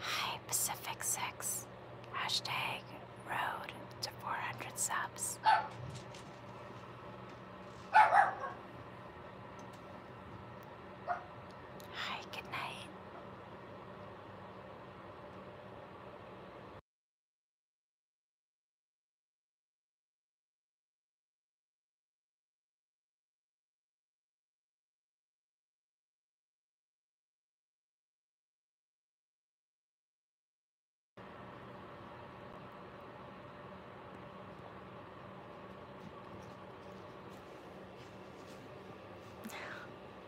Hi, Pacific 6. Hashtag road to 400 subs. Hi, good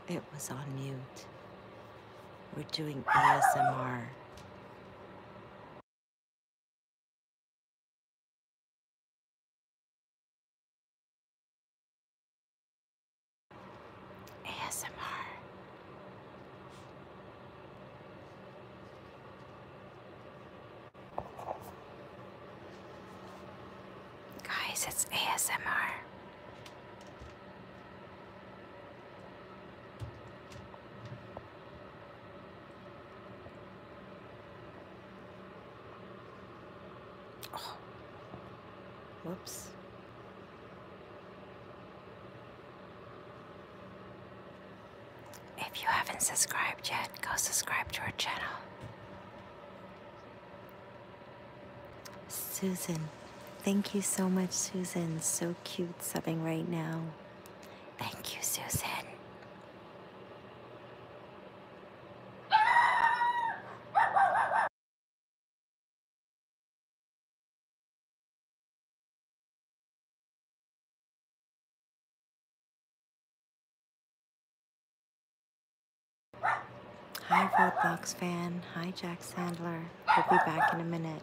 it was on mute. We're doing ASMR. ASMR. Guys, it's ASMR. Oh. Whoops. If you haven't subscribed yet, go subscribe to our channel. Susan, thank you so much, Susan. So cute subbing right now. Thank you, Susan. Hi, Roadblocks fan. Hi, Jack Sandler. We'll be back in a minute.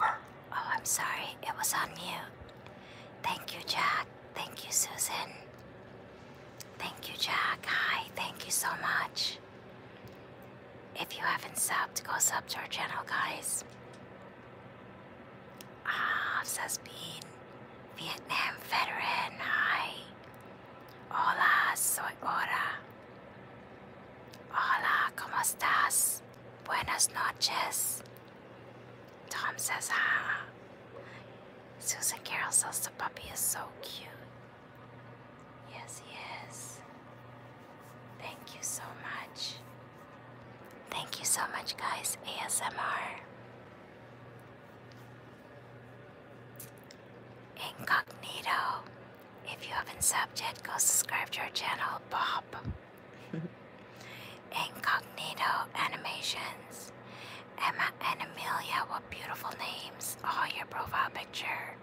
Oh, I'm sorry. It was on mute. Thank you, Jack. Thank you, Susan. Thank you, Jack. Hi. Thank you so much. If you haven't subbed, go sub to our channel, guys. Ah, says Bean. Vietnam veteran, hi. Hola, soy Ora. Hola, ¿cómo estás? Buenas noches. Tom says, ah. Susan Carol says the puppy is so cute. Yes, yes. Thank you so much. Thank you so much, guys. ASMR. Incognito. If you haven't subbed yet, go subscribe to our channel, Bob. Incognito Animations. Emma and Amelia, what beautiful names. Oh, your profile picture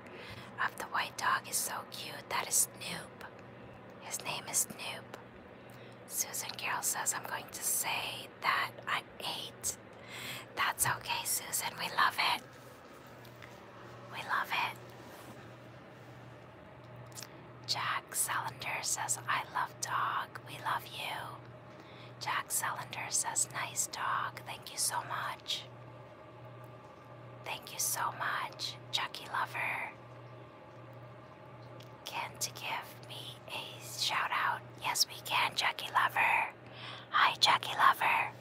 of the white dog is so cute. That is Snoop. His name is Snoop. Susan Carroll says, I'm going to say that I ate. That's okay, Susan. We love it. We love it. Jack Salander says, I love dog. We love you. Jack Salander says, nice dog. Thank you so much. Thank you so much, Chucky Lover. Can to give me a shout out? Yes, we can, Chucky Lover. Hi, Chucky Lover.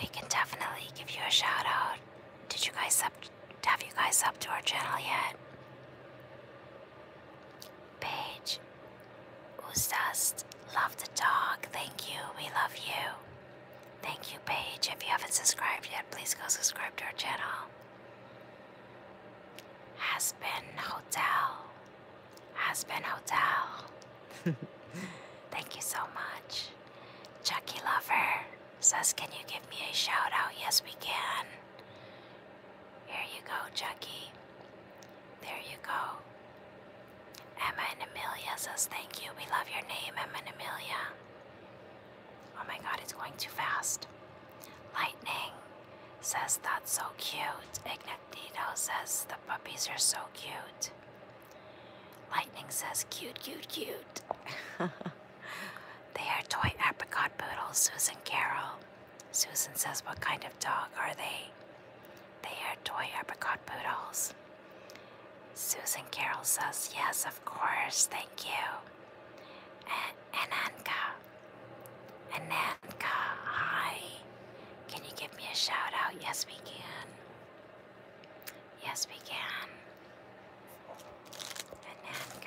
We can definitely give you a shout out. Did you guys sub? Have you guys up to our channel yet? Page, who's Ustas, love to talk. Thank you. We love you. Thank you, Page. If you haven't subscribed yet, please go subscribe to our channel. Has been Hotel. Has been Hotel. Thank you so much. Chucky Lover says, Can you give me a shout out? Yes, we can. Here you go, Chucky. There you go. Emma and Amelia says thank you. We love your name, Emma and Amelia. Oh my god, it's going too fast. Lightning says that's so cute. Ignatito says the puppies are so cute. Lightning says cute, cute, cute. they are toy apricot poodles, Susan Carol. Susan says, What kind of dog are they? They are toy apricot poodles. Susan Carol says, Yes, of course, thank you. A- Ananka. Ananka, hi. Can you give me a shout out? Yes, we can. Yes, we can. Ananka.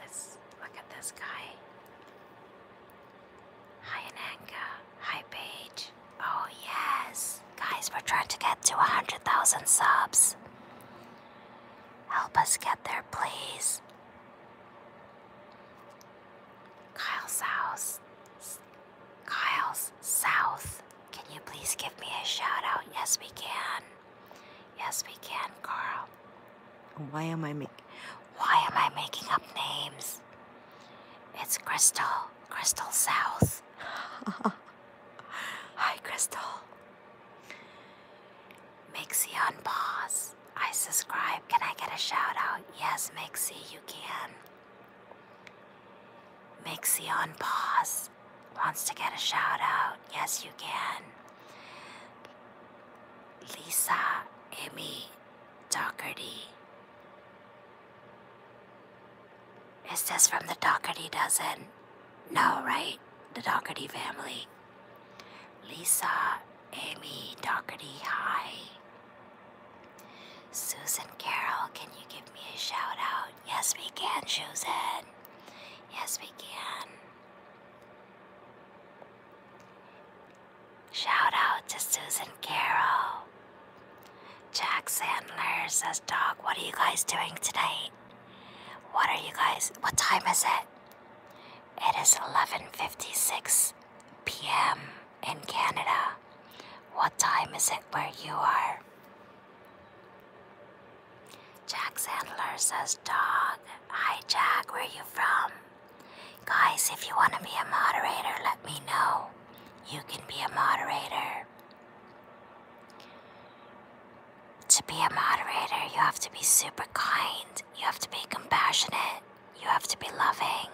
Let's look at this guy. Hi Ananga. Hi Paige. Oh yes. Guys, we're trying to get to a 100,000 subs. Help us get there, please. Kyle's house. Kyle's South. Can you please give me a shout out? Yes, we can. Yes, we can, Carl. Why am I making... Why am I making up names? It's Crystal. Crystal South. Hi, Crystal. Mixie on pause. I subscribe. Can I get a shout out? Yes, Mixie, you can. Mixie on pause. Wants to get a shout out? Yes, you can. Lisa Amy Doherty. Is this from the Doherty dozen? No, right? The Doherty family. Lisa Amy Doherty, hi. Susan Carroll, can you give me a shout out? Yes, we can, Susan. Yes, we can. Shout out to Susan Carroll. Jack Sandler says, Dog, what are you guys doing tonight? What are you guys, what time is it? It is 11.56 p.m. in Canada. What time is it where you are? Jack Sandler says, Dog, hi Jack, where are you from? Guys, if you want to be a moderator, let me know. You can be a moderator. To be a moderator, you have to be super kind, you have to be compassionate, you have to be loving.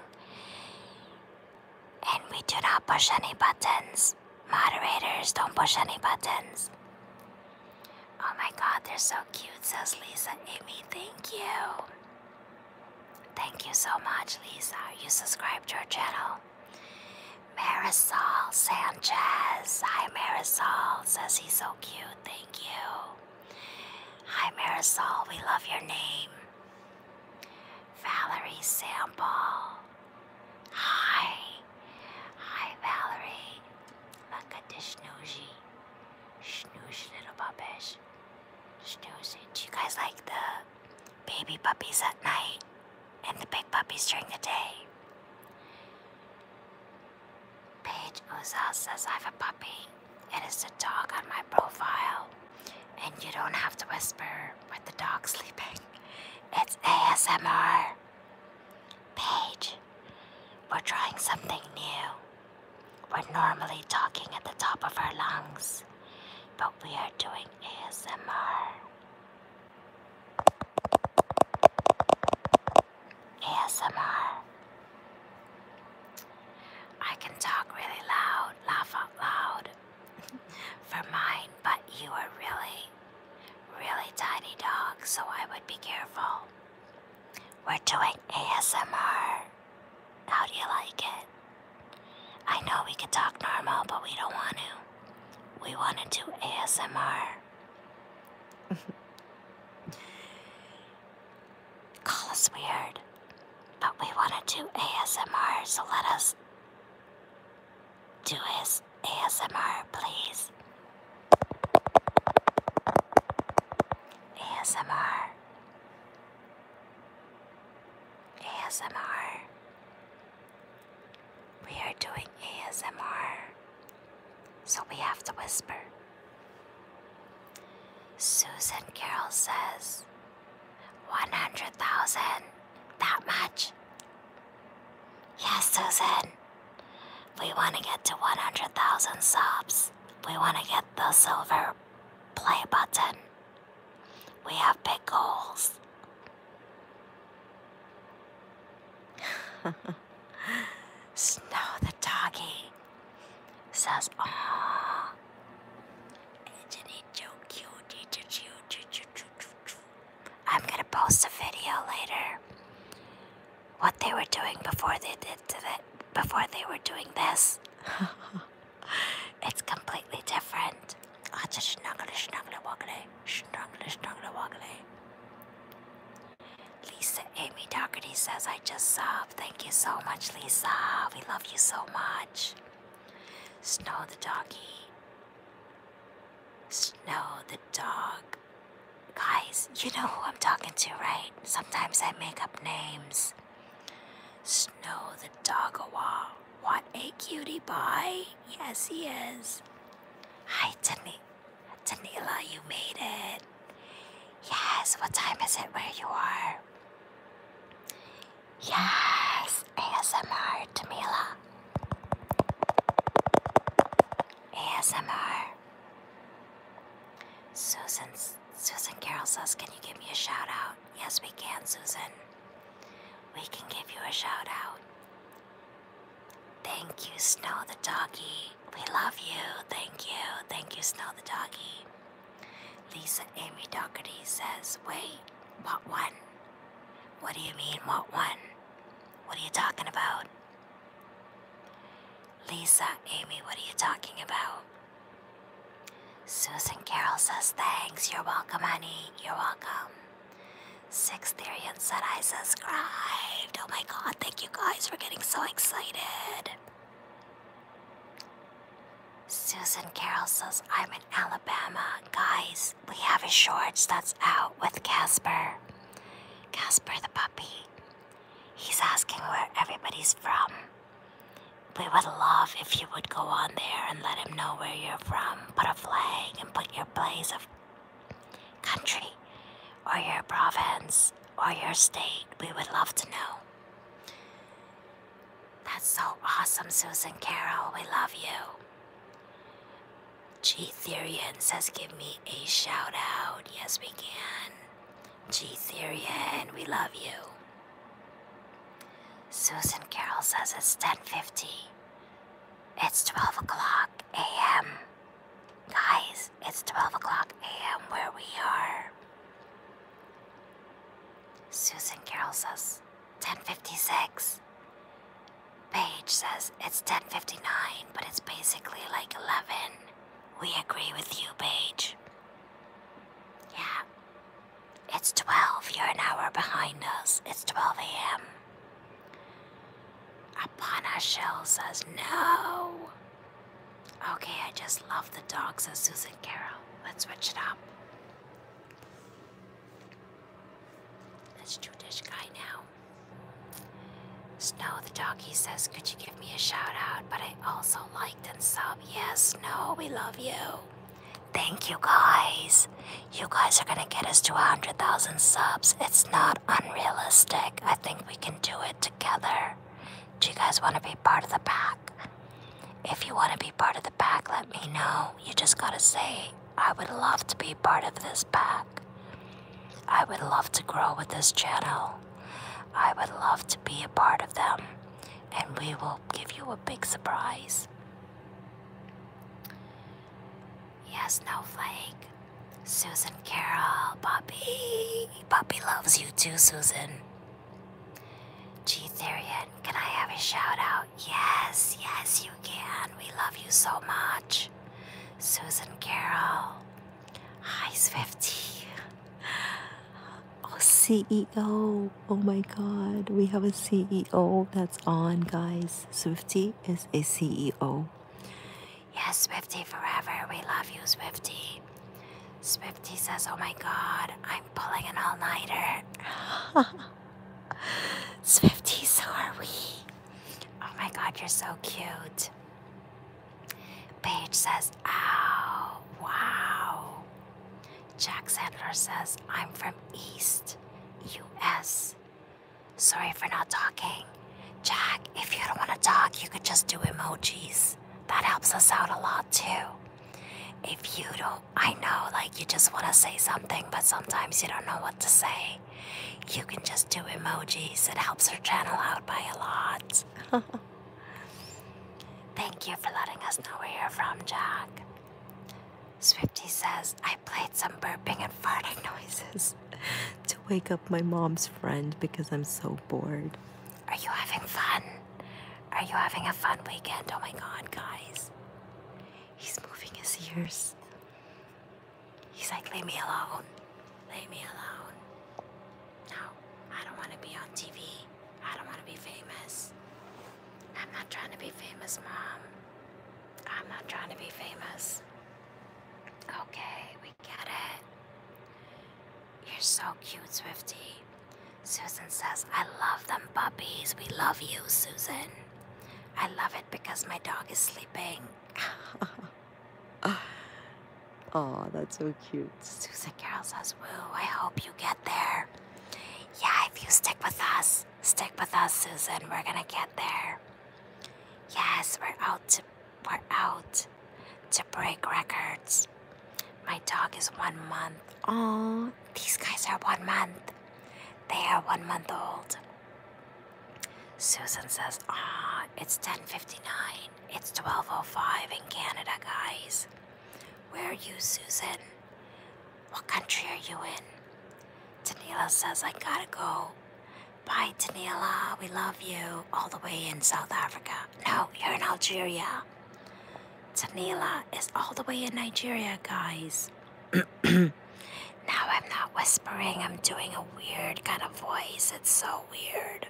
And we do not push any buttons. Moderators don't push any buttons. Oh my god, they're so cute, says Lisa Amy. Thank you. Thank you so much, Lisa. You subscribe to our channel. Marisol Sanchez. Hi, Marisol. Says he's so cute. Thank you. Hi, Marisol. We love your name. Valerie Sample. Hi. Hi, Valerie. Look at this snoozy. snoozy little puppies. Snoozy, Do you guys like the baby puppies at night and the big puppies during the day? Paige Ozell says I have a puppy. It is a dog on my profile. And you don't have to whisper with the dog sleeping. It's ASMR. Paige, we're trying something new. We're normally talking at the top of our lungs, but we are doing ASMR. ASMR. I can talk really loud, laugh out loud for mine, but you are really, really tiny dog. so I would be careful. We're doing ASMR. How do you like it? I know we could talk normal, but we don't want to. We want to do ASMR. Call us weird, but we want to do ASMR, so let us do his. ASMR, please. ASMR. ASMR. We are doing ASMR, so we have to whisper. Susan Carroll says 100,000. That much. Yes, Susan. We want to get to 100,000 subs. We want to get the silver play button. We have big goals. Snow the doggy says, "Ah, I'm gonna post a video later what they were doing before they did that before they were doing this. it's completely different. Oh, just snuggly, snuggly, woggly, snuggly, snuggly, woggly. Lisa Amy Doherty says, I just sobbed. Thank you so much, Lisa. We love you so much. Snow the doggy. Snow the dog. Guys, you know who I'm talking to, right? Sometimes I make up names. Snow the Dogawa. What a cutie pie. Yes, he is. Hi, Tani Tanila, you made it. Yes, what time is it where you are? Yes, ASMR, Tamila. ASMR. Susan, Susan Carroll says, can you give me a shout out? Yes, we can, Susan. We can give you a shout out. Thank you, Snow the doggy. We love you. Thank you. Thank you, Snow the doggy. Lisa Amy Doherty says, wait, what one? What do you mean, what one? What are you talking about? Lisa, Amy, what are you talking about? Susan Carroll says thanks. You're welcome, honey. You're welcome. Six Therian said I subscribed. Oh my god, thank you guys for getting so excited. Susan Carroll says I'm in Alabama. Guys, we have a short that's out with Casper. Casper the puppy. He's asking where everybody's from. We would love if you would go on there and let him know where you're from. Put a flag and put your place of country or your province or your state. We would love to know. That's so awesome, Susan Carol. We love you. G Therian says, give me a shout out. Yes, we can. G Therian, we love you. Susan Carroll says it's 10.50. It's 12 o'clock a.m. Guys, it's 12 o'clock a.m. where we are. Susan Carroll says 10.56. Paige says it's 10.59, but it's basically like 11. We agree with you, Paige. Yeah. It's 12. You're an hour behind us. It's 12 a.m. Apana Shell says no. Okay, I just love the dogs, says Susan Carroll. Let's switch it up. That's us do guy now. Snow the doggy says, Could you give me a shout out? But I also liked and sub. Yes, Snow, we love you. Thank you guys. You guys are gonna get us to 100,000 subs. It's not unrealistic. I think we can do it together. Do you guys wanna be part of the pack? If you wanna be part of the pack, let me know. You just gotta say, I would love to be part of this pack. I would love to grow with this channel. I would love to be a part of them, and we will give you a big surprise. Yes, no flake. Susan Carol, Bobby. Bobby loves you too, Susan. G Therian, can I have a shout out? Yes, yes, you can. We love you so much. Susan Carol. Hi, 50. Oh, CEO. Oh my god. We have a CEO that's on, guys. Swifty is a CEO. Yes, Swifty forever. We love you, Swifty. Swifty says, Oh my god, I'm pulling an all nighter. Swifty, so are we. Oh my god, you're so cute. Page says, Ow, wow. Jack Sadler says, I'm from East, US. Sorry for not talking. Jack, if you don't want to talk, you could just do emojis. That helps us out a lot too. If you don't, I know, like, you just want to say something, but sometimes you don't know what to say. You can just do emojis, it helps our channel out by a lot. Thank you for letting us know where you're from, Jack. Swifty says, I played some burping and farting noises to wake up my mom's friend because I'm so bored. Are you having fun? Are you having a fun weekend? Oh my god, guys. He's moving his ears. He's like, leave me alone. Leave me alone. No, I don't want to be on TV. I don't want to be famous. I'm not trying to be famous, Mom. I'm not trying to be famous. Okay, we get it. You're so cute, Swiftie. Susan says, I love them puppies. We love you, Susan. I love it because my dog is sleeping. Oh, that's so cute. Susan Carol says, Woo, I hope you get there. Yeah, if you stick with us, stick with us, Susan. We're gonna get there. Yes, we're out to we're out to break records. My dog is one month. Oh, these guys are one month. They are one month old. Susan says, ah, it's 10.59. It's 12.05 in Canada, guys. Where are you, Susan? What country are you in? Tanila says, I gotta go. Bye, Tanila. We love you. All the way in South Africa. No, you're in Algeria. Tanila is all the way in Nigeria, guys. Now I'm not whispering, I'm doing a weird kind of voice. It's so weird.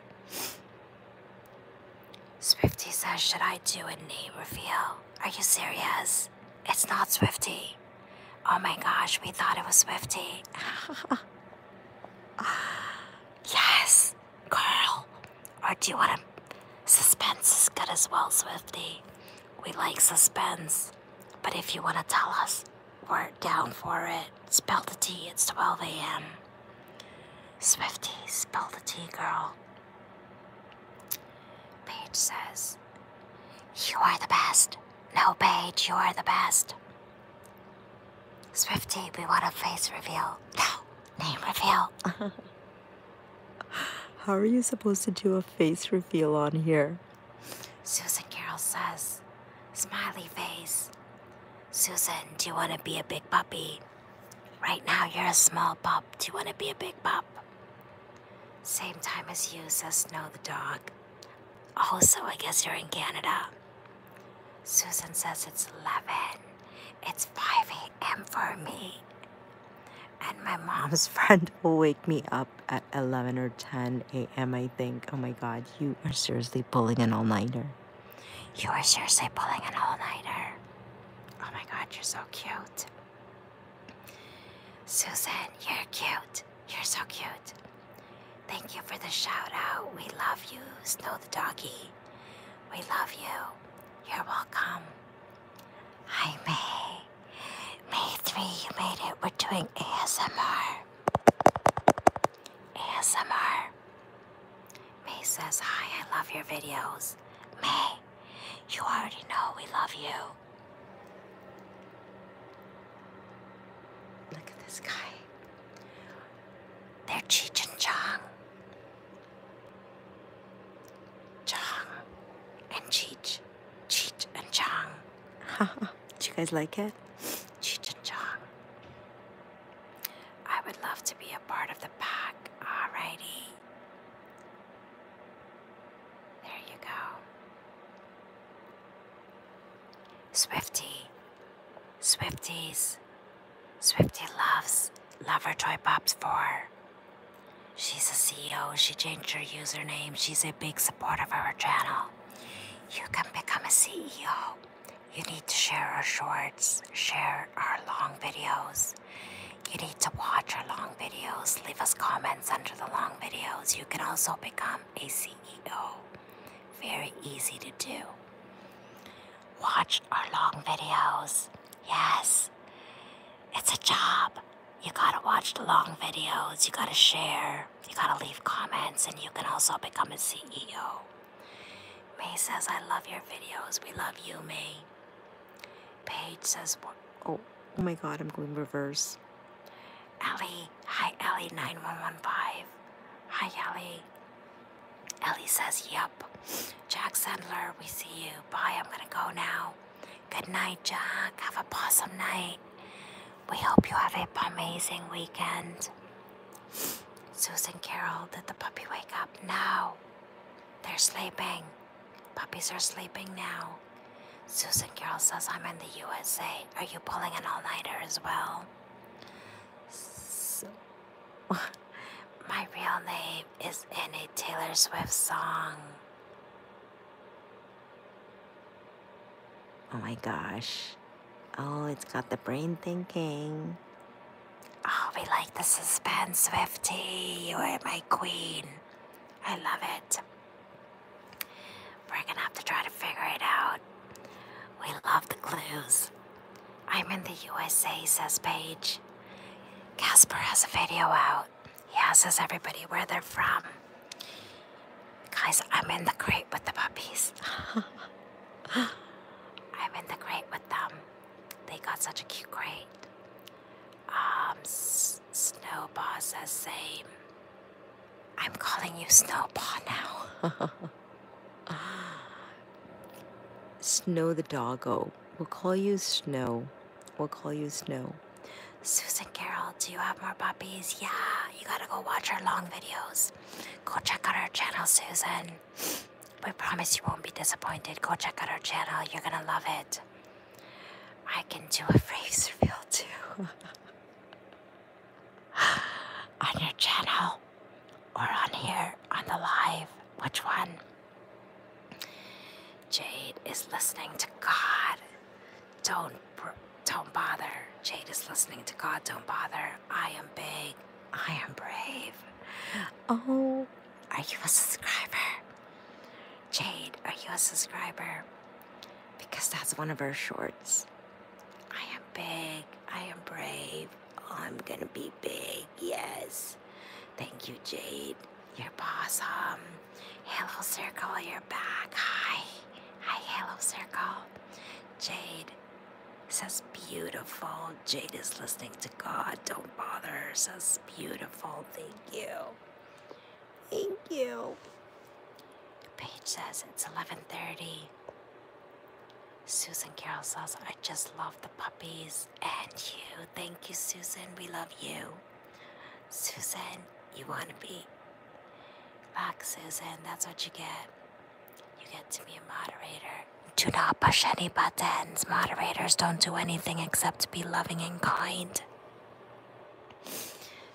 Swifty says, Should I do a name reveal? Are you serious? It's not Swifty. Oh my gosh, we thought it was Swifty. yes, girl. Or do you want to? Suspense is good as well, Swifty. We like suspense. But if you want to tell us, we're down for it. Spell the T, it's 12 a.m. Swifty, spell the T, girl. Paige says, You are the best. No, Paige, you are the best. Swifty, we want a face reveal. No, name reveal. How are you supposed to do a face reveal on here? Susan Carroll says, Smiley face. Susan, do you want to be a big puppy? Right now you're a small pup. Do you want to be a big pup? Same time as you, says Snow the dog. Also, I guess you're in Canada. Susan says it's 11. It's 5 a.m. for me. And my mom's friend will wake me up at 11 or 10 a.m a.m., I think. Oh my god, you are seriously pulling an all nighter. You are seriously pulling an all nighter. Oh my god, you're so cute. Susan, you're cute. You're so cute. Thank you for the shout out. We love you, Snow the Doggy. We love you. You're welcome. Hi, May. May 3, you made it. We're doing ASMR. ASMR. May says hi, I love your videos. May, you already know we love you. Look at this guy. They're Cheech and Chong. Chong and Cheech. Cheech and Chong. Do you guys like it? Cheech and I would love to be a part of the pack. Alrighty. There you go. Swifty. Swifties. Swifty loves Lover 4. She's a CEO, she changed her username, she's a big supporter of our channel. You can become a CEO. You need to share our shorts, share our long videos. You need to watch our long videos. Leave us comments under the long videos. You can also become a CEO. Very easy to do. Watch our long videos. Yes, it's a job. You gotta watch the long videos. You gotta share you gotta leave comments and you can also become a CEO. May says, I love your videos. We love you, May. Paige says, oh, oh my god, I'm going reverse. Ellie, hi Ellie9115. Hi Ellie. Ellie says, Yep. Jack Sandler, we see you. Bye, I'm gonna go now. Good night, Jack. Have a awesome night. We hope you have an amazing weekend. Susan Carol, did the puppy wake up? No. They're sleeping. Puppies are sleeping now. Susan Carol says, I'm in the USA. Are you pulling an all nighter as well? my real name is in a Taylor Swift song. Oh my gosh. Oh, it's got the brain thinking. Oh, we like the suspense, Swifty. You are my queen. I love it. We're gonna have to try to figure it out. We love the clues. I'm in the USA, says Paige. Casper has a video out. He asks everybody where they're from. Guys, I'm in the crate with the puppies. I'm in the crate with them. They got such a cute crate. Um, S Snowball says same. I'm calling you Snowball now. Snow the doggo. We'll call you Snow. We'll call you Snow. Susan Carol, do you have more puppies? Yeah, you gotta go watch our long videos. Go check out our channel, Susan. We promise you won't be disappointed. Go check out our channel. You're gonna love it. I can do a face reveal too. on your channel or on here on the live. Which one? Jade is listening to God. Don't, don't bother. Jade is listening to God. Don't bother. I am big. I am brave. Oh, are you a subscriber? Jade, are you a subscriber? Because that's one of her shorts. I am big. I am brave. I'm gonna be big. Yes. Thank you, Jade. You're awesome. Hello, Circle. You're back. Hi. Hi, hello, Circle. Jade says beautiful. Jade is listening to God. Don't bother. Says beautiful. Thank you. Thank you. Paige says it's 11:30. Susan Carroll says I just love the puppies and you. Thank you, Susan. We love you. Susan, you want to be boxes, and that's what you get. You get to be a moderator. Do not push any buttons. Moderators don't do anything except be loving and kind.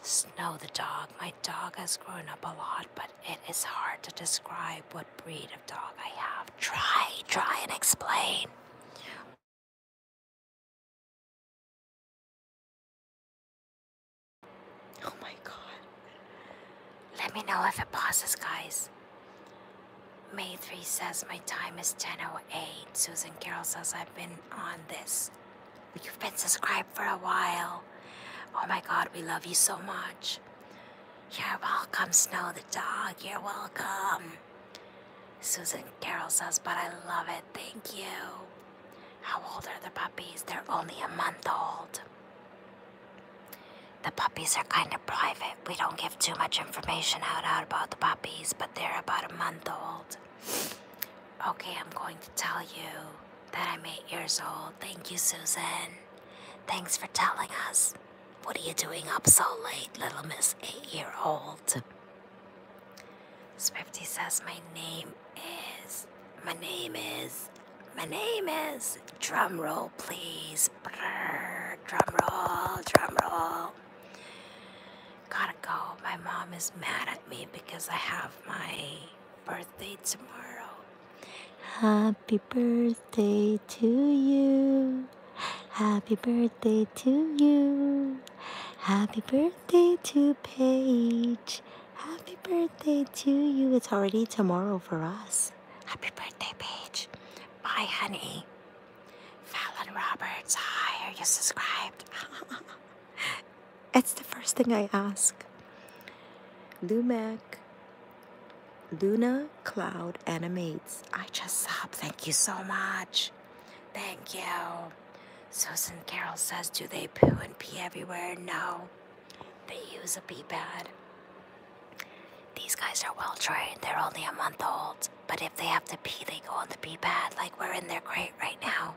Snow the dog. My dog has grown up a lot, but it is hard to describe what breed of dog I have. Try, try and explain. Oh my god. Let me know if it passes, guys. May 3 says my time is 10.08. Susan Carroll says I've been on this. You've been subscribed for a while. Oh my god, we love you so much. You're welcome, Snow the dog. You're welcome. Susan Carroll says, but I love it. Thank you. How old are the puppies? They're only a month old. The puppies are kind of private. We don't give too much information out about the puppies, but they're about a month old. Okay, I'm going to tell you that I'm eight years old. Thank you, Susan. Thanks for telling us. What are you doing up so late, little miss eight year old? Swiftie says my name is. My name is. My name is. Drum roll, please. Brrr, drum roll, drum roll. Gotta go. My mom is mad at me because I have my birthday tomorrow. Happy birthday to you. Happy birthday to you. Happy birthday to Paige. Happy birthday to you. It's already tomorrow for us. Happy birthday, Paige. Bye, honey. Fallon Roberts, hi, are you subscribed? it's the first thing I ask. Lumac, Luna Cloud Animates. I just sobbed. Thank you so much. Thank you. Susan Carol says, do they poo and pee everywhere? No. They use a pee pad. These guys are well trained, they're only a month old, but if they have to pee, they go on the pee pad like we're in their crate right now.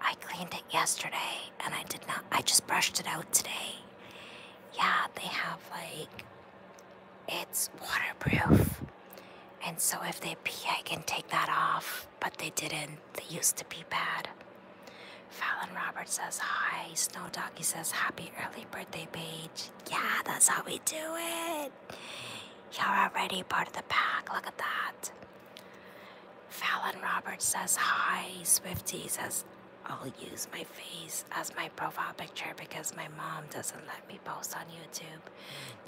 I cleaned it yesterday and I did not, I just brushed it out today. Yeah, they have like, it's waterproof. And so if they pee, I can take that off but they didn't. They used to be bad. Fallon Roberts says hi. Snow Doggy says happy early birthday, Paige. Yeah, that's how we do it. you all already part of the pack. Look at that. Fallon Roberts says hi. Swifty says I'll use my face as my profile picture because my mom doesn't let me post on YouTube.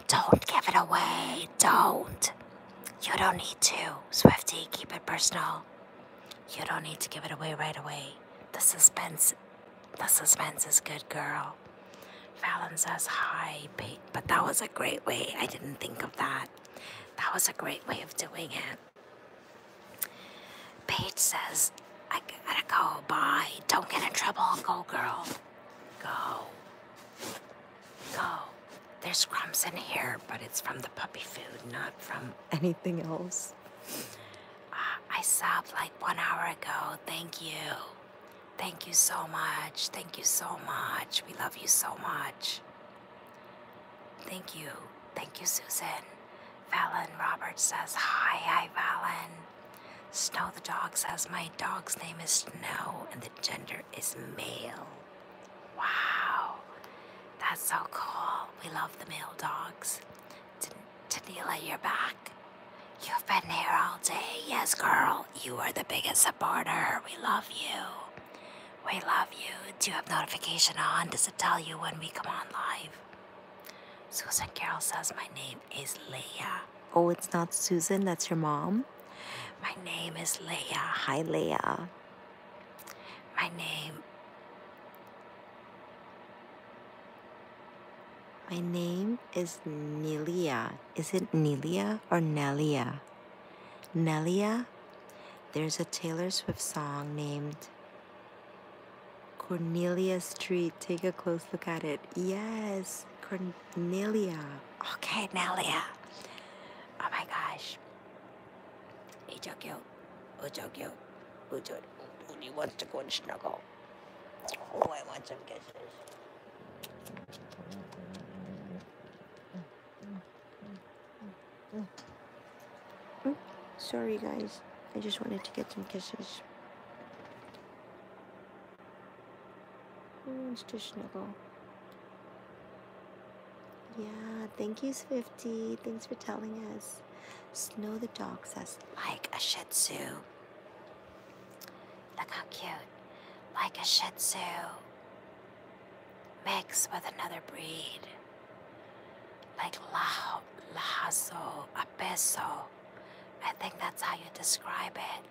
Don't give it away. Don't. You don't need to, Swifty. Keep it personal. You don't need to give it away right away. The suspense, the suspense is good, girl. Fallon says hi, babe. But that was a great way. I didn't think of that. That was a great way of doing it. Paige says, I gotta go. Bye. Don't get in trouble. Go, girl. Go. Go. There's crumbs in here, but it's from the puppy food, not from anything else. Uh, I stopped like one hour ago. Thank you. Thank you so much. Thank you so much. We love you so much. Thank you. Thank you, Susan. Valen Roberts says hi. I Valen. Snow the dog says my dog's name is Snow and the gender is male. Wow, that's so cool. We love the male dogs. Daniela, you're back. You've been here all day. Yes, girl, you are the biggest supporter. We love you. We love you. Do you have notification on? Does it tell you when we come on live? Susan Carol says my name is Leah. Oh, it's not Susan, that's your mom? My name is Leah. Hi, Leah my name. My name is Nelia. Is it Nelia or Nelia? Nelia? There's a Taylor Swift song named Cornelia Street. Take a close look at it. Yes, Cornelia. Okay, Nelia. Oh my gosh. He took you. Who took you? Who took Who do you want to go and snuggle? Oh, I want some kisses. Sorry, guys. I just wanted to get some kisses. Who wants to snuggle? Yeah, thank you, Swifty. Thanks for telling us. Snow the dog says, like a Shih Look how cute. Like a Shih Mix with another breed. Like Lajo, Lazo, Apeso. I think that's how you describe it.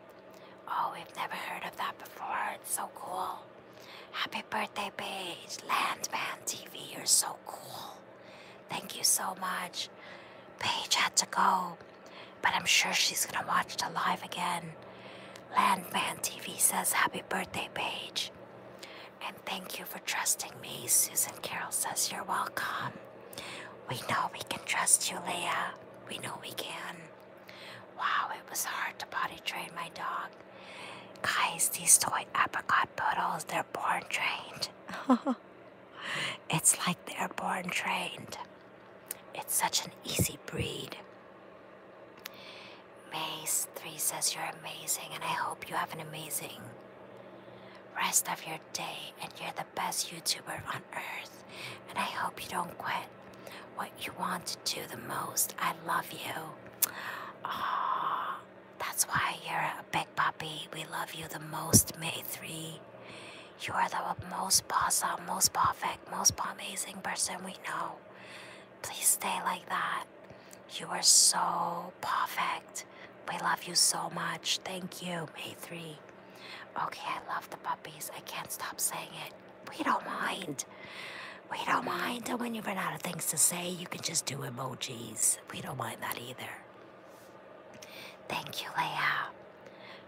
Oh, we've never heard of that before. It's so cool. Happy birthday, Paige. Landman TV, you're so cool. Thank you so much. Paige had to go, but I'm sure she's gonna watch the live again. Landman TV says happy birthday, Paige. And thank you for trusting me, Susan Carroll says you're welcome. We know we can trust you, Leah. We know we can. Wow, it was hard to potty train my dog. Guys, these toy apricot poodles, they're born trained. it's like they're born trained. It's such an easy breed. Maze 3 says you're amazing, and I hope you have an amazing rest of your day and you're the best YouTuber on earth. And I hope you don't quit what you want to do the most. I love you. Oh, that's why you're a big puppy. We love you the most, May 3. You are the most awesome, most perfect, most amazing person we know. Please stay like that. You are so perfect. We love you so much. Thank you, May 3. Okay, I love the puppies. I can't stop saying it. We don't mind. We don't mind. And when you run out of things to say, you can just do emojis. We don't mind that either. Thank you, Leia.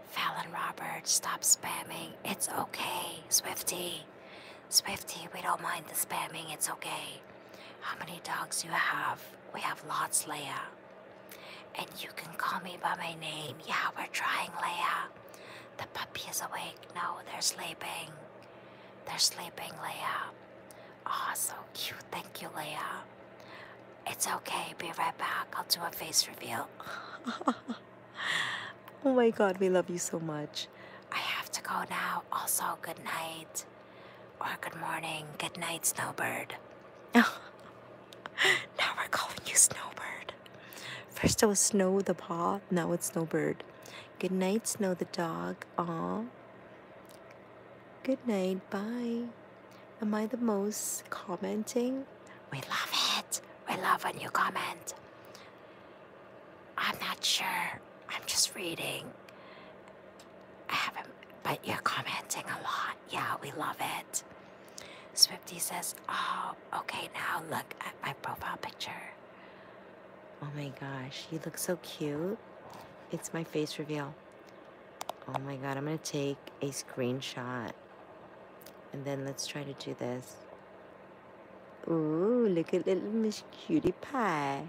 Fallon Roberts, stop spamming. It's okay, Swifty. Swifty, we don't mind the spamming. It's okay. How many dogs you have? We have lots, Leia. And you can call me by my name. Yeah, we're trying, Leia. The puppy is awake. No, they're sleeping. They're sleeping, Leia. Aw, oh, so cute. Thank you, Leia. It's okay. Be right back. I'll do a face reveal. oh my god, we love you so much. I have to go now. Also, good night. Or good morning. Good night, Snowbird. now we're calling you Snowbird. First it was Snow the paw, now it's Snowbird. Good night, Snow the dog. Aw. Good night. Bye. Am I the most commenting? We love it. We love when you comment. I'm not sure. I'm just reading. I haven't, but you're commenting a lot. Yeah, we love it. Swifty says, Oh, okay, now look at my profile picture. Oh my gosh, you look so cute. It's my face reveal. Oh my god, I'm gonna take a screenshot. And then let's try to do this. Ooh, look at little Miss Cutie Pie.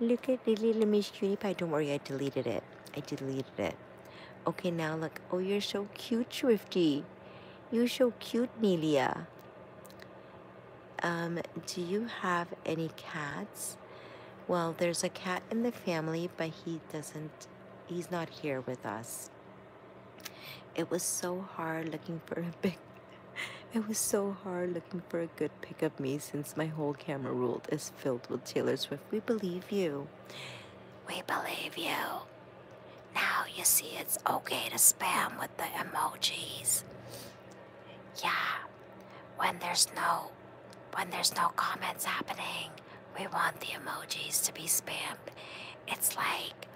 Look at little Miss Cutie Pie. Don't worry, I deleted it. I deleted it. Okay, now look. Oh, you're so cute, Swifty. You're so cute, Nelia. Um, do you have any cats? Well, there's a cat in the family, but he doesn't, he's not here with us. It was so hard looking for a big, it was so hard looking for a good pick of me since my whole camera roll is filled with Taylor Swift. We believe you. We believe you. Now you see it's okay to spam with the emojis. Yeah. When there's no when there's no comments happening, we want the emojis to be spammed. It's like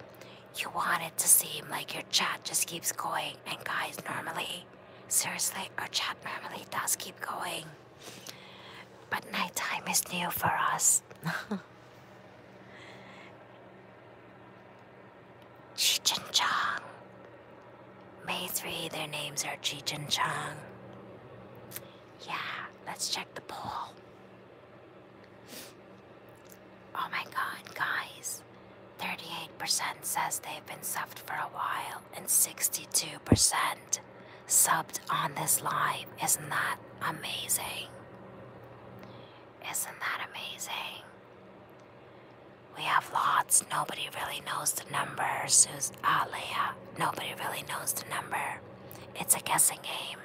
you want it to seem like your chat just keeps going and guys normally seriously our chat normally does keep going. But nighttime is new for us. Cheech and Chong. May 3, their names are Cheech and Chong. Yeah, let's check the poll. Oh my god, guys. 38% says they've been subbed for a while, and 62% subbed on this live. Isn't that amazing? Isn't that amazing? We have lots. Nobody really knows the number. Sus Alea. Nobody really knows the number. It's a guessing game.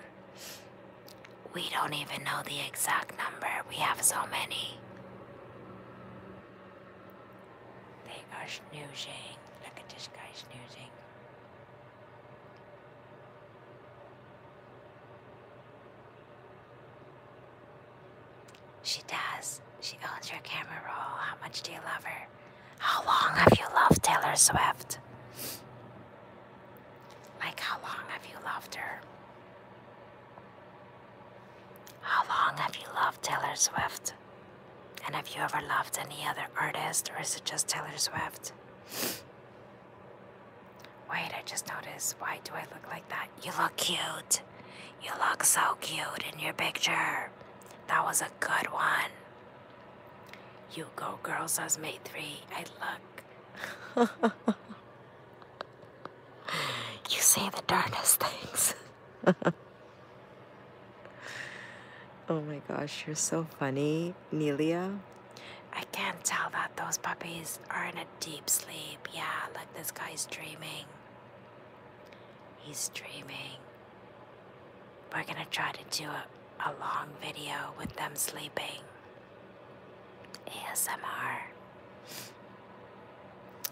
We don't even know the exact number. We have so many. They are snoozing. Look at this guy snoozing. She does. She owns your camera roll. How much do you love her? How long have you loved Taylor Swift? Like, how long have you loved her? How long have you loved Taylor Swift? And have you ever loved any other artist, or is it just Taylor Swift? Wait, I just noticed. Why do I look like that? You look cute. You look so cute in your picture. That was a good one. You go, girl, says May 3. I look. you say the darndest things. oh my gosh, you're so funny, Nelia. I can't tell that those puppies are in a deep sleep. Yeah, like this guy's dreaming. He's dreaming. We're gonna try to do a, a long video with them sleeping. ASMR.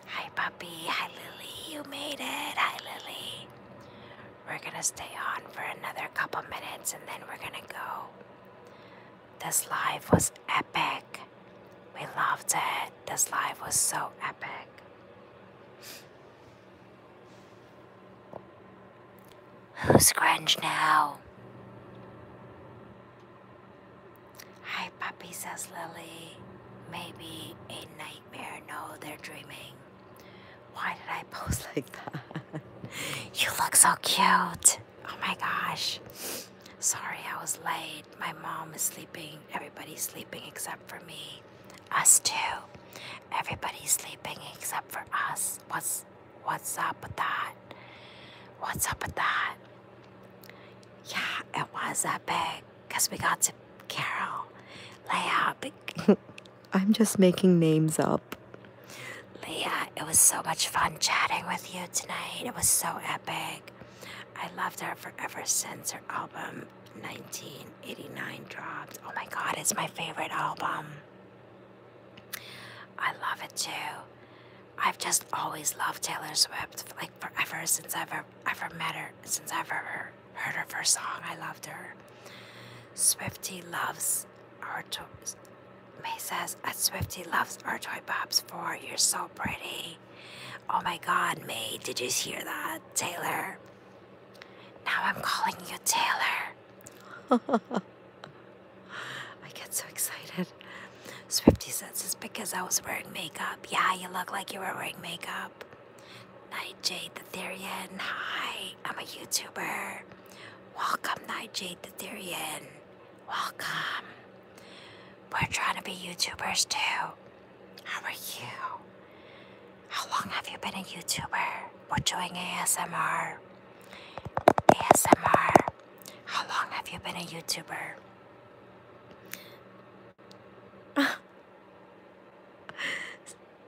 Hi puppy, hi Lily, you made it, hi Lily. We're gonna stay on for another couple minutes and then we're gonna go. This life was epic. We loved it. This life was so epic. Who's grunge now? Hi, puppy, says Lily. Maybe a nightmare. No, they're dreaming. Why did I pose like that? you look so cute. Oh my gosh. Sorry, I was late. My mom is sleeping. Everybody's sleeping except for me. Us two. Everybody's sleeping except for us. What's what's up with that? What's up with that? Yeah, it was epic. Cause we got to Carol. Lay out. I'm just making names up. Leah, it was so much fun chatting with you tonight. It was so epic. I loved her forever since her album 1989 dropped. Oh my god, it's my favorite album. I love it too. I've just always loved Taylor Swift, like forever since I've ever, ever met her, since I've ever heard her first song. I loved her. Swifty loves our May says, at Swifty loves our toy pops for you're so pretty. Oh my god, May, did you hear that? Taylor. Now I'm calling you Taylor. I get so excited. Swifty says it's because I was wearing makeup. Yeah, you look like you were wearing makeup. Night Jade the Therian. Hi, I'm a YouTuber. Welcome, Night Jade the Therian. Welcome. We're trying to be YouTubers too. How are you? How long have you been a YouTuber? We're doing ASMR. ASMR. How long have you been a YouTuber?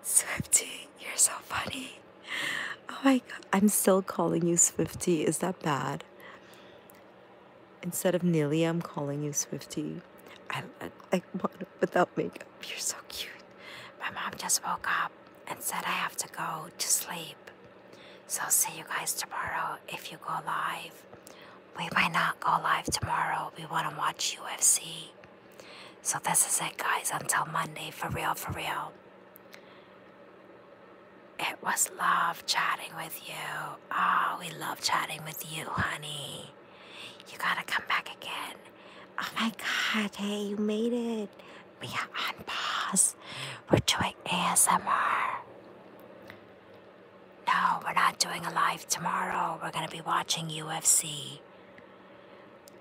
Swifty, you're so funny. Oh my god, I'm still calling you Swifty. Is that bad? Instead of Nilly, I'm calling you Swiftie. I like without makeup. You're so cute. My mom just woke up and said I have to go to sleep. So see you guys tomorrow if you go live. We might not go live tomorrow. We want to watch UFC. So this is it, guys. Until Monday, for real, for real. It was love chatting with you. Oh, we love chatting with you, honey. You gotta come back again. Oh my god, hey, you made it. We are on pause. We're doing ASMR. No, we're not doing a live tomorrow. We're gonna be watching UFC.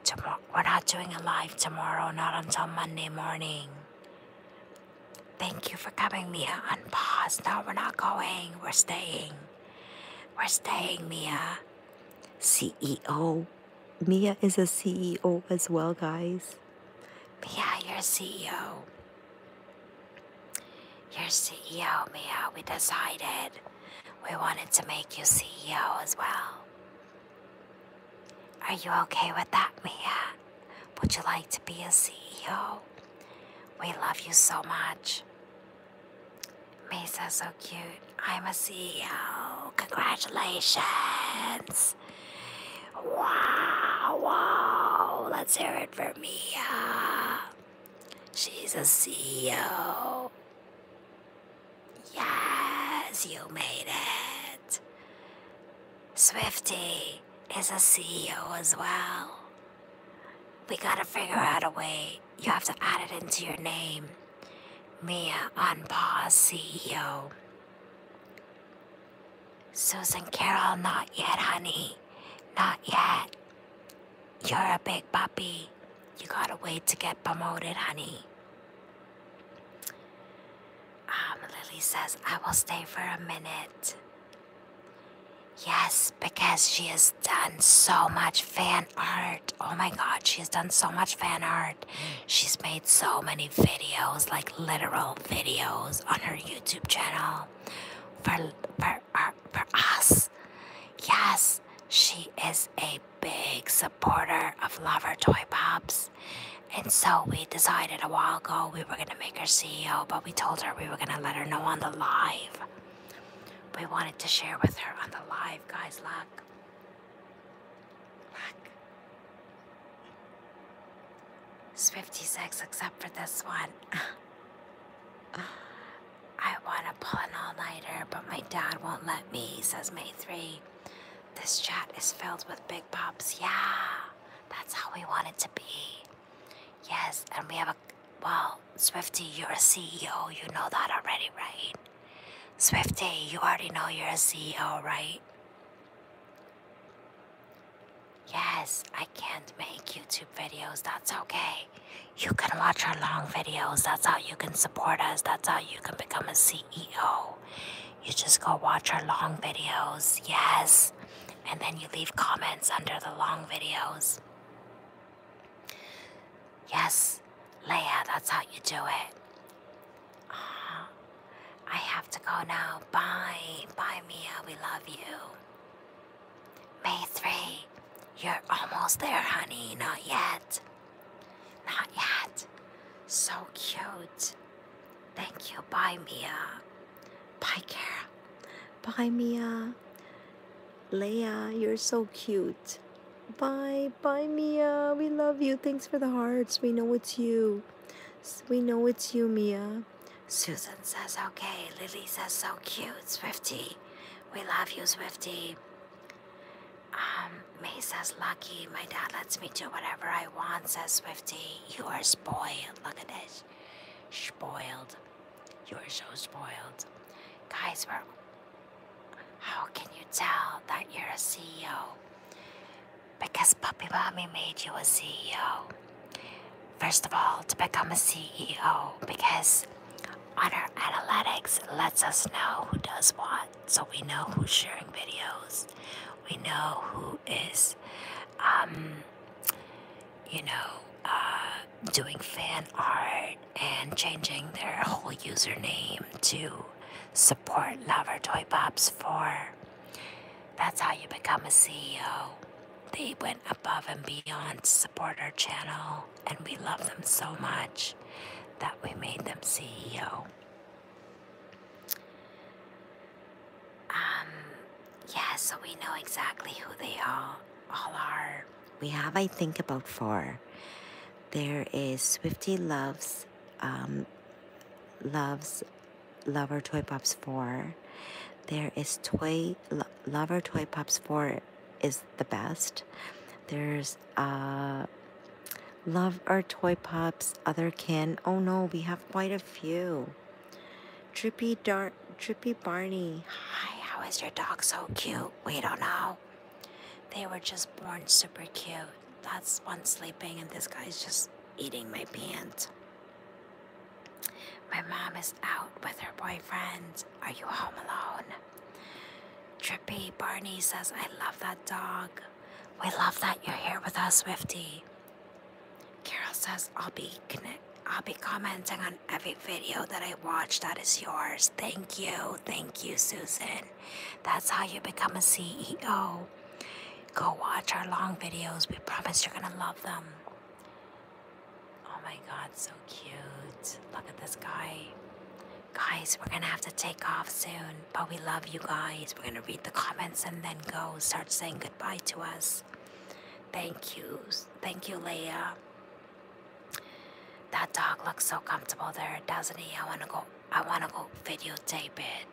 Tomorrow, we're not doing a live tomorrow, not until Monday morning. Thank you for coming, Mia. Unpause. No, we're not going. We're staying. We're staying, Mia. CEO. Mia is a CEO as well, guys. Mia, you're CEO. You're CEO, Mia. We decided we wanted to make you CEO as well. Are you okay with that, Mia? Would you like to be a CEO? We love you so much. Misa's so cute. I'm a CEO. Congratulations. Wow, wow. Let's hear it for Mia. She's a CEO. Yes, you made it. Swifty is a CEO as well. We gotta figure out a way. You have to add it into your name. Mia Unpause CEO. Susan Carol, not yet, honey. Not yet. You're a big puppy. You gotta wait to get promoted, honey. Um, Lily says, I will stay for a minute. Yes, because she has done so much fan art. Oh my god, she has done so much fan art. She's made so many videos, like literal videos, on her YouTube channel for, for, uh, for us. Yes, she is a big supporter of Lover Toy Pops. And so we decided a while ago we were going to make her CEO, but we told her we were going to let her know on the live. We wanted to share with her on the live, guys. Luck, Look. 56 except for this one. I want to pull an all-nighter, but my dad won't let me, says May 3. This chat is filled with big pops. Yeah. That's how we want it to be. Yes, and we have a well, Swifty, you're a CEO. You know that already, right? Swifty, you already know you're a CEO, right? Yes, I can't make YouTube videos. That's okay. You can watch our long videos. That's how you can support us. That's how you can become a CEO. You just go watch our long videos, yes, and then you leave comments under the long videos. Yes, Leah. that's how you do it. Uh, I have to go now. Bye. Bye, Mia. We love you. May 3, you're almost there, honey. Not yet. Not yet. So cute. Thank you. Bye, Mia. Bye, Kara. Bye, Mia. Leia, you're so cute. Bye, bye, Mia. We love you. Thanks for the hearts. We know it's you. We know it's you, Mia. Susan says, okay. Lily says, so cute. Swifty. We love you, Swifty. Um, May says, lucky. My dad lets me do whatever I want, says Swifty you are spoiled. Look at this. Spoiled. You are so spoiled. Guys, how can you tell that you're a CEO? Because Puppy Mommy made you a CEO. First of all, to become a CEO, because on analytics lets us know who does what. So we know who's sharing videos. We know who is um, you know, uh, doing fan art and changing their whole username to support Lover Toy Bobs 4. That's how you become a CEO. They went above and beyond to support our channel, and we love them so much that we made them CEO. Um, yeah, so we know exactly who they all, all are. We have, I think, about four. There is Swiftie Loves, um, Loves Lover Toy Pops 4. There is Toy Lo Lover Toy Pops 4 is the best. There's uh, Love our Toy Pops other kin. Oh no, we have quite a few. Trippy Dar Trippy Barney. Hi, how is your dog so cute? We don't know. They were just born super cute. That's one sleeping and this guy's just eating my pants. My mom is out with her boyfriend. Are you home alone? Trippy Barney says, I love that dog. We love that you're here with us, Swifty. Carol says I'll be I'll be commenting on every video that I watch that is yours. Thank you. Thank you, Susan. That's how you become a CEO. Go watch our long videos. We promise you're going to love them. Oh my god, so cute. Look at this guy. Guys, we're going to have to take off soon but we love you guys. We're gonna read the comments and then go start saying goodbye to us. Thank you, thank you, Leah. That dog looks so comfortable there, doesn't he? I wanna go. I wanna go videotape it.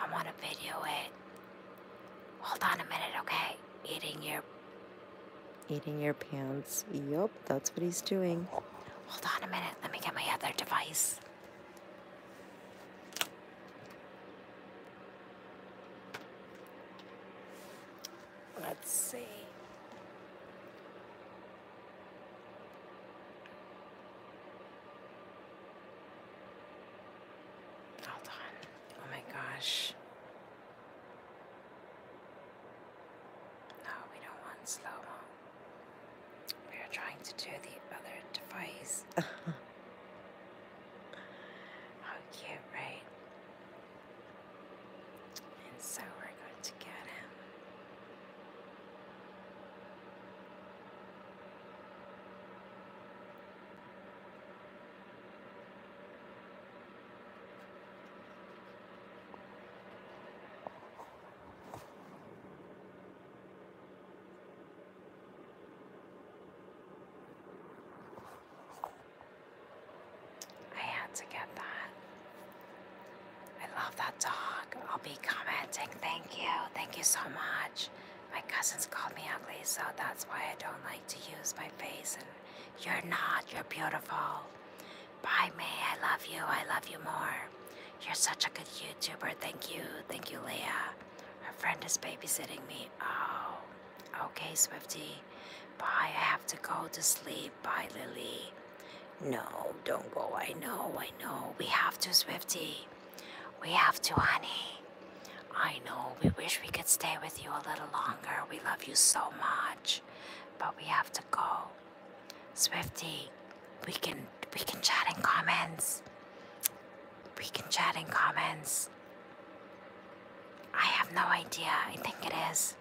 I wanna video it. Hold on a minute, okay? Eating your. Eating your pants. Yup, that's what he's doing. Hold on a minute. Let me get my other device. Let's see. Hold on. Oh my gosh. No, we don't want slow-mo. We are trying to do the other device. How cute, right? And so we're going to get him. I had to get that. I love that dog. I'll be commenting. Thank you. Thank you so much. My cousins called me ugly, so that's why I don't like to use my face. And you're not. You're beautiful. By me, I love you. I love you more. You're such a good YouTuber. Thank you. Thank you, Leah. Her friend is babysitting me. Oh, okay, Swiftie. Bye, I have to go to sleep. Bye, Lily. No, don't go. I know, I know. We have to, Swiftie. We have to, honey. I know, we wish we could stay with you a little longer. We love you so much. But we have to go. Swiftie. we can we can chat in comments. We can chat in comments. I have no idea. I think it is.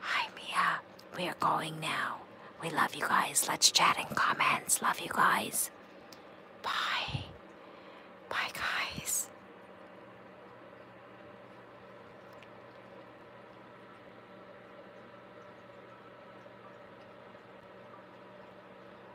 Hi, Mia. We are going now. We love you guys. Let's chat in comments. Love you guys. Bye. Bye, guys.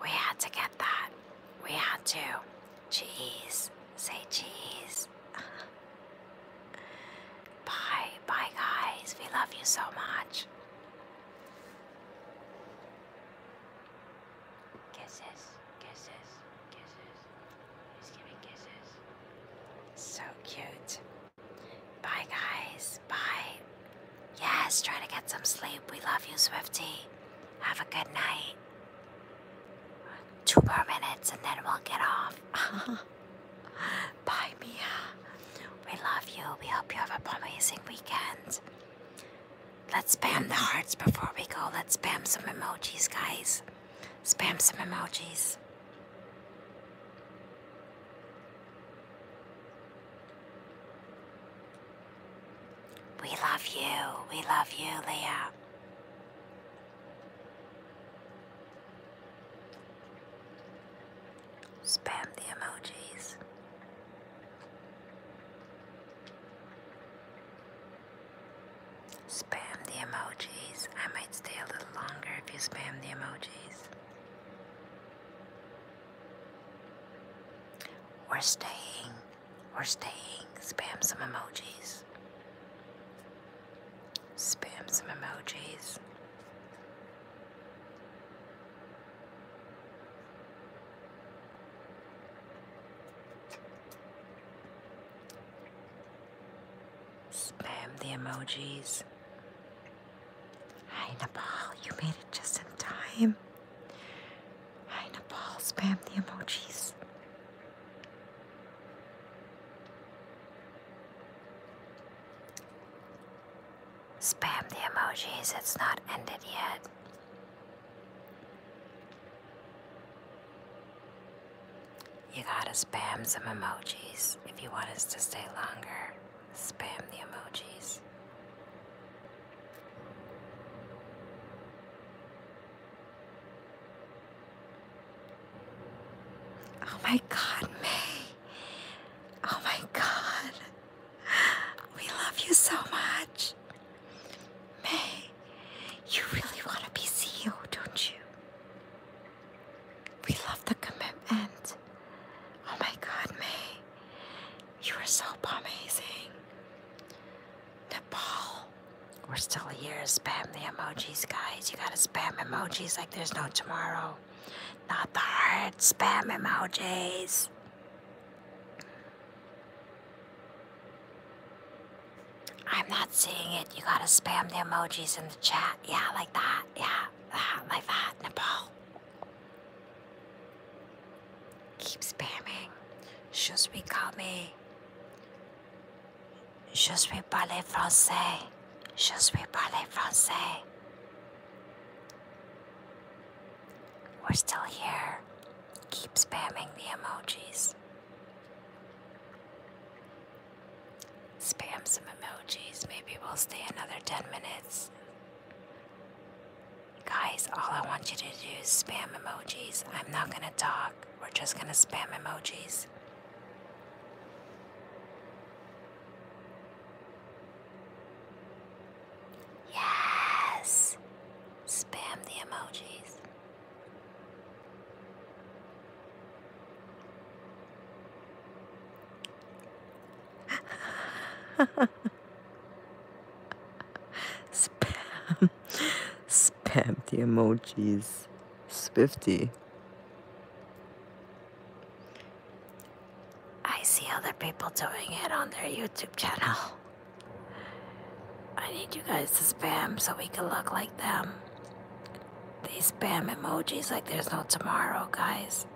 We had to get that. We had to. Jeez. Say cheese. bye, bye, guys. We love you so much. Kisses, kisses, kisses. He's giving kisses. So cute. Bye, guys. Bye. Yes, try to get some sleep. We love you, Swiftie. Have a good night. Two more minutes and then we'll get off. Bye, Mia. We love you. We hope you have an amazing weekend. Let's spam the hearts before we go. Let's spam some emojis, guys. Spam some emojis. We love you. We love you, Leah. Spam the emojis. Spam the emojis. I might stay a little longer if you spam the emojis. We're staying we're staying. Spam some emojis. Spam some emojis. Spam the emojis. Hi, Nepal. You made it just in time. Hi, Nepal. Spam the emojis. Spam the emojis. It's not ended yet. You gotta spam some emojis if you want us to stay longer. Spam the emojis. Oh my God, May. Oh my God. We love you so much. May, you really want to be CEO, don't you? We love the commitment. Oh my God, May. You are so amazing. Nepal. We're still here. Spam the emojis, guys. You gotta spam emojis like there's no tomorrow. Not the heart. Spam emojis. I'm not seeing it. You gotta spam the emojis in the chat. Yeah, like that. Yeah, that, like that. Nepal. Keep spamming. Should we call me? Je suis les français. Je suis les français. We're still here. Keep spamming the emojis. Spam some emojis. Maybe we'll stay another 10 minutes. Guys, all I want you to do is spam emojis. I'm not gonna talk. We're just gonna spam emojis. Yes! Spam the emojis. Spam Spam the emojis. Swifty. I see other people doing it on their YouTube channel. I need you guys to spam so we can look like them. They spam emojis like there's no tomorrow, guys.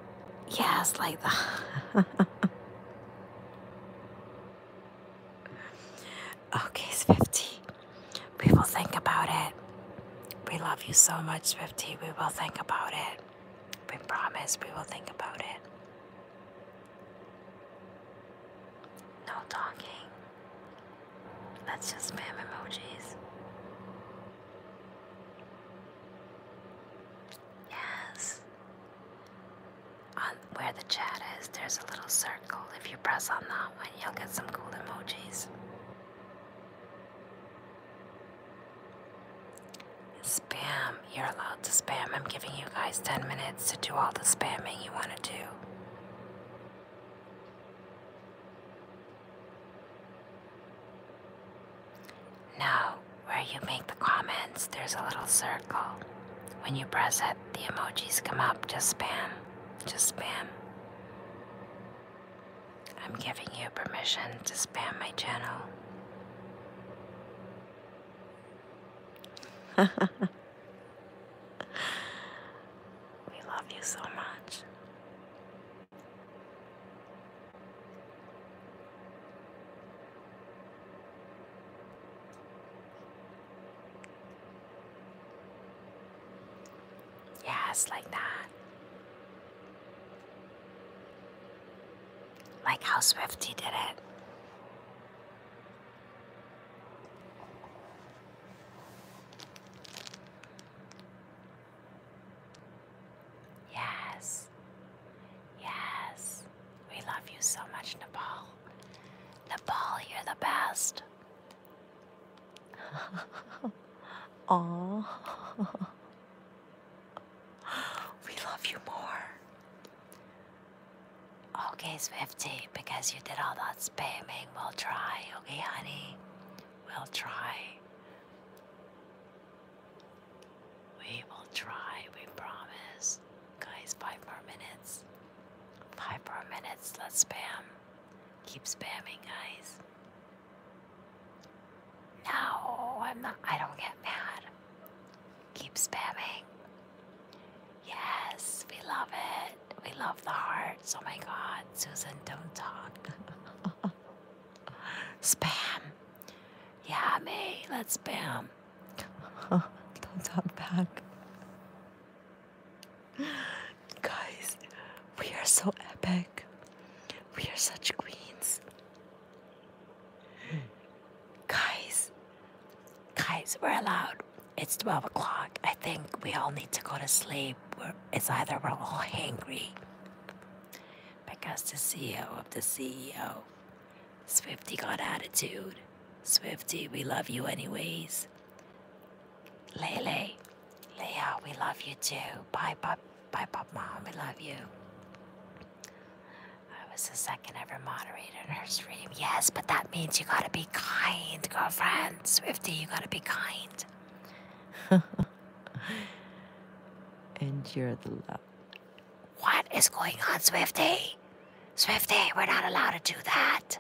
Yes, like the. Okay, Swifty. We will think about it. We love you so much, Swifty. We will think about it. We promise we will think about it. No talking. Let's just spam emojis. Yes on where the chat is, there's a little circle. If you press on that one, you'll get some cool emojis. Spam. You're allowed to spam. I'm giving you guys 10 minutes to do all the spamming you want to do. Now, where you make the comments, there's a little circle. When you press it, the emojis come up. Just spam. Just spam. I'm giving you permission to spam my channel. we love you so much. Yes, like that. Like how swift he did it. Yes. Yes. We love you so much, Nepal. Nepal, you're the best. Aww. we love you more. Okay, Swifty, because you did all that spamming, we'll try. Okay, honey? We'll try. We will try, we promise. Guys, five more minutes. Five more minutes. Let's spam. Keep spamming, guys. No, I'm not. I don't get mad. Keep spamming. Yes, we love it. We love the hearts. Oh my God, Susan, don't talk. spam. Yummy. Let's spam. don't talk back. Guys, we are so epic. We are such queens. Guys, guys, we're allowed. It's 12 o'clock. I think we all need to go to sleep. We're, it's either we're all hangry because the CEO of the CEO, Swifty got attitude. Swifty, we love you anyways. Lele, Leah, we love you too. Bye, Pop, bye, Pop Mom, we love you. I was the second ever moderator in her stream. Yes, but that means you gotta be kind, girlfriend. Swifty, you gotta be kind. and you're the love. What is going on, Swifty? Swifty, we're not allowed to do that.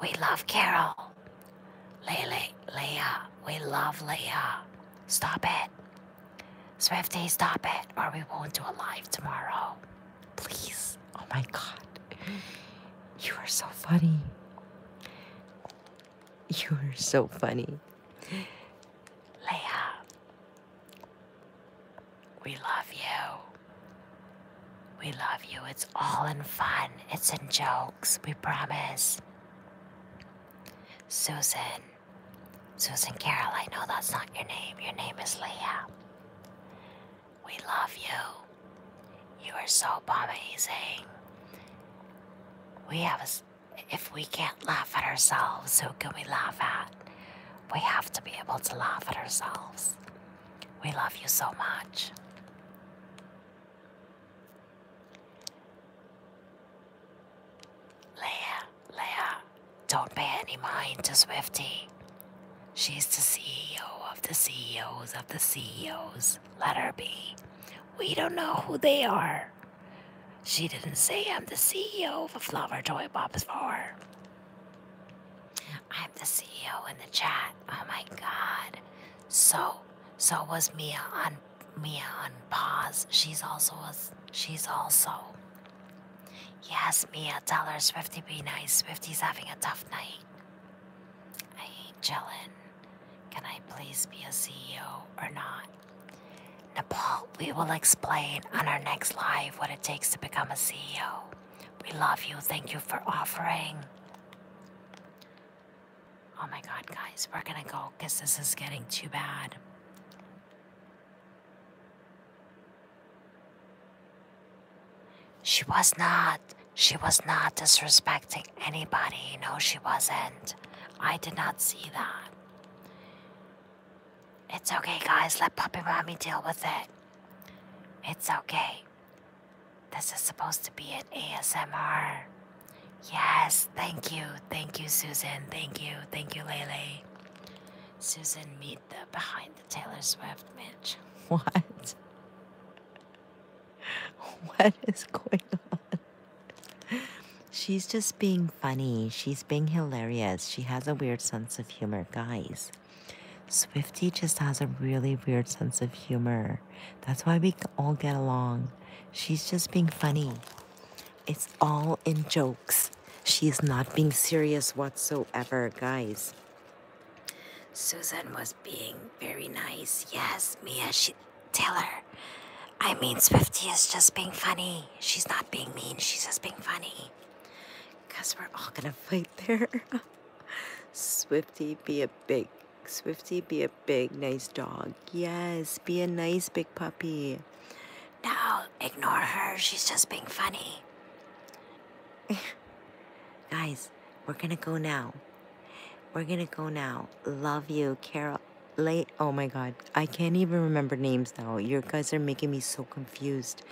We love Carol. Lily, Leah. we love Leah. Stop it. Swifty, stop it, or we won't do a live tomorrow. Please. Oh my god. You are so funny. You are so funny. Leah. We love you. We love you. It's all in fun, it's in jokes, we promise. Susan. Susan Carroll, I know that's not your name. Your name is Leah. We love you. You are so amazing. We have if we can't laugh at ourselves, who can we laugh at? We have to be able to laugh at ourselves. We love you so much. Leia, Leia, don't pay any mind to Swifty. She's the CEO of the CEOs of the CEOs. Let her be. We don't know who they are. She didn't say I'm the CEO of flower toy box for. I'm the CEO in the chat. Oh my god. So so was Mia on Mia on pause. She's also was she's also. Yes, Mia, tell her Swifty be nice. Swifty's having a tough night. I hate chillin'. Can I please be a CEO or not? Nepal, we will explain on our next live what it takes to become a CEO. We love you. Thank you for offering. Oh my god, guys, we're gonna go because this is getting too bad. She was not. She was not disrespecting anybody. No, she wasn't. I did not see that. It's okay, guys. Let Puppy Mommy deal with it. It's okay. This is supposed to be an ASMR. Yes, thank you. Thank you, Susan. Thank you. Thank you, Lele. Susan, meet the behind the Taylor Swift Mitch. What? What is going on? She's just being funny. She's being hilarious. She has a weird sense of humor, guys. Swifty just has a really weird sense of humor. That's why we all get along. She's just being funny. It's all in jokes. She is not being serious whatsoever, guys. Susan was being very nice. Yes, Mia, she tell her. I mean, Swifty is just being funny. She's not being mean. She's just being funny. Cause we're all gonna fight there. Swifty, be a big, Swifty, be a big, nice dog. Yes, be a nice big puppy. No, ignore her. She's just being funny. Guys, we're gonna go now. We're gonna go now. Love you, Carol. Late. Oh my god, I can't even remember names now. Your guys are making me so confused.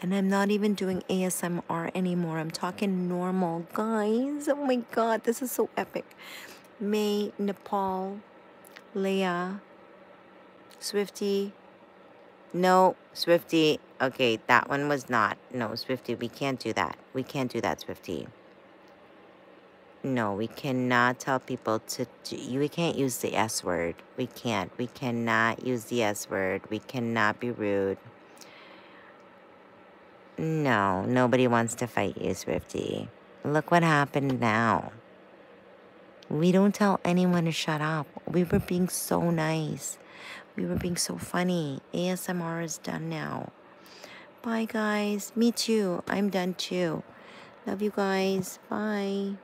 And I'm not even doing ASMR anymore. I'm talking normal. Guys, oh my god, this is so epic. May, Nepal, Leah, Swiftie. No, Swiftie. Okay, that one was not. No, Swiftie. we can't do that. We can't do that, Swiftie. No, we cannot tell people to we can't use the S word. We can't. We cannot use the S word. We cannot be rude. No, nobody wants to fight you, Swiftie. Look what happened now. We don't tell anyone to shut up. We were being so nice. We were being so funny. ASMR is done now. Bye, guys. Me too. I'm done too. Love you guys. Bye.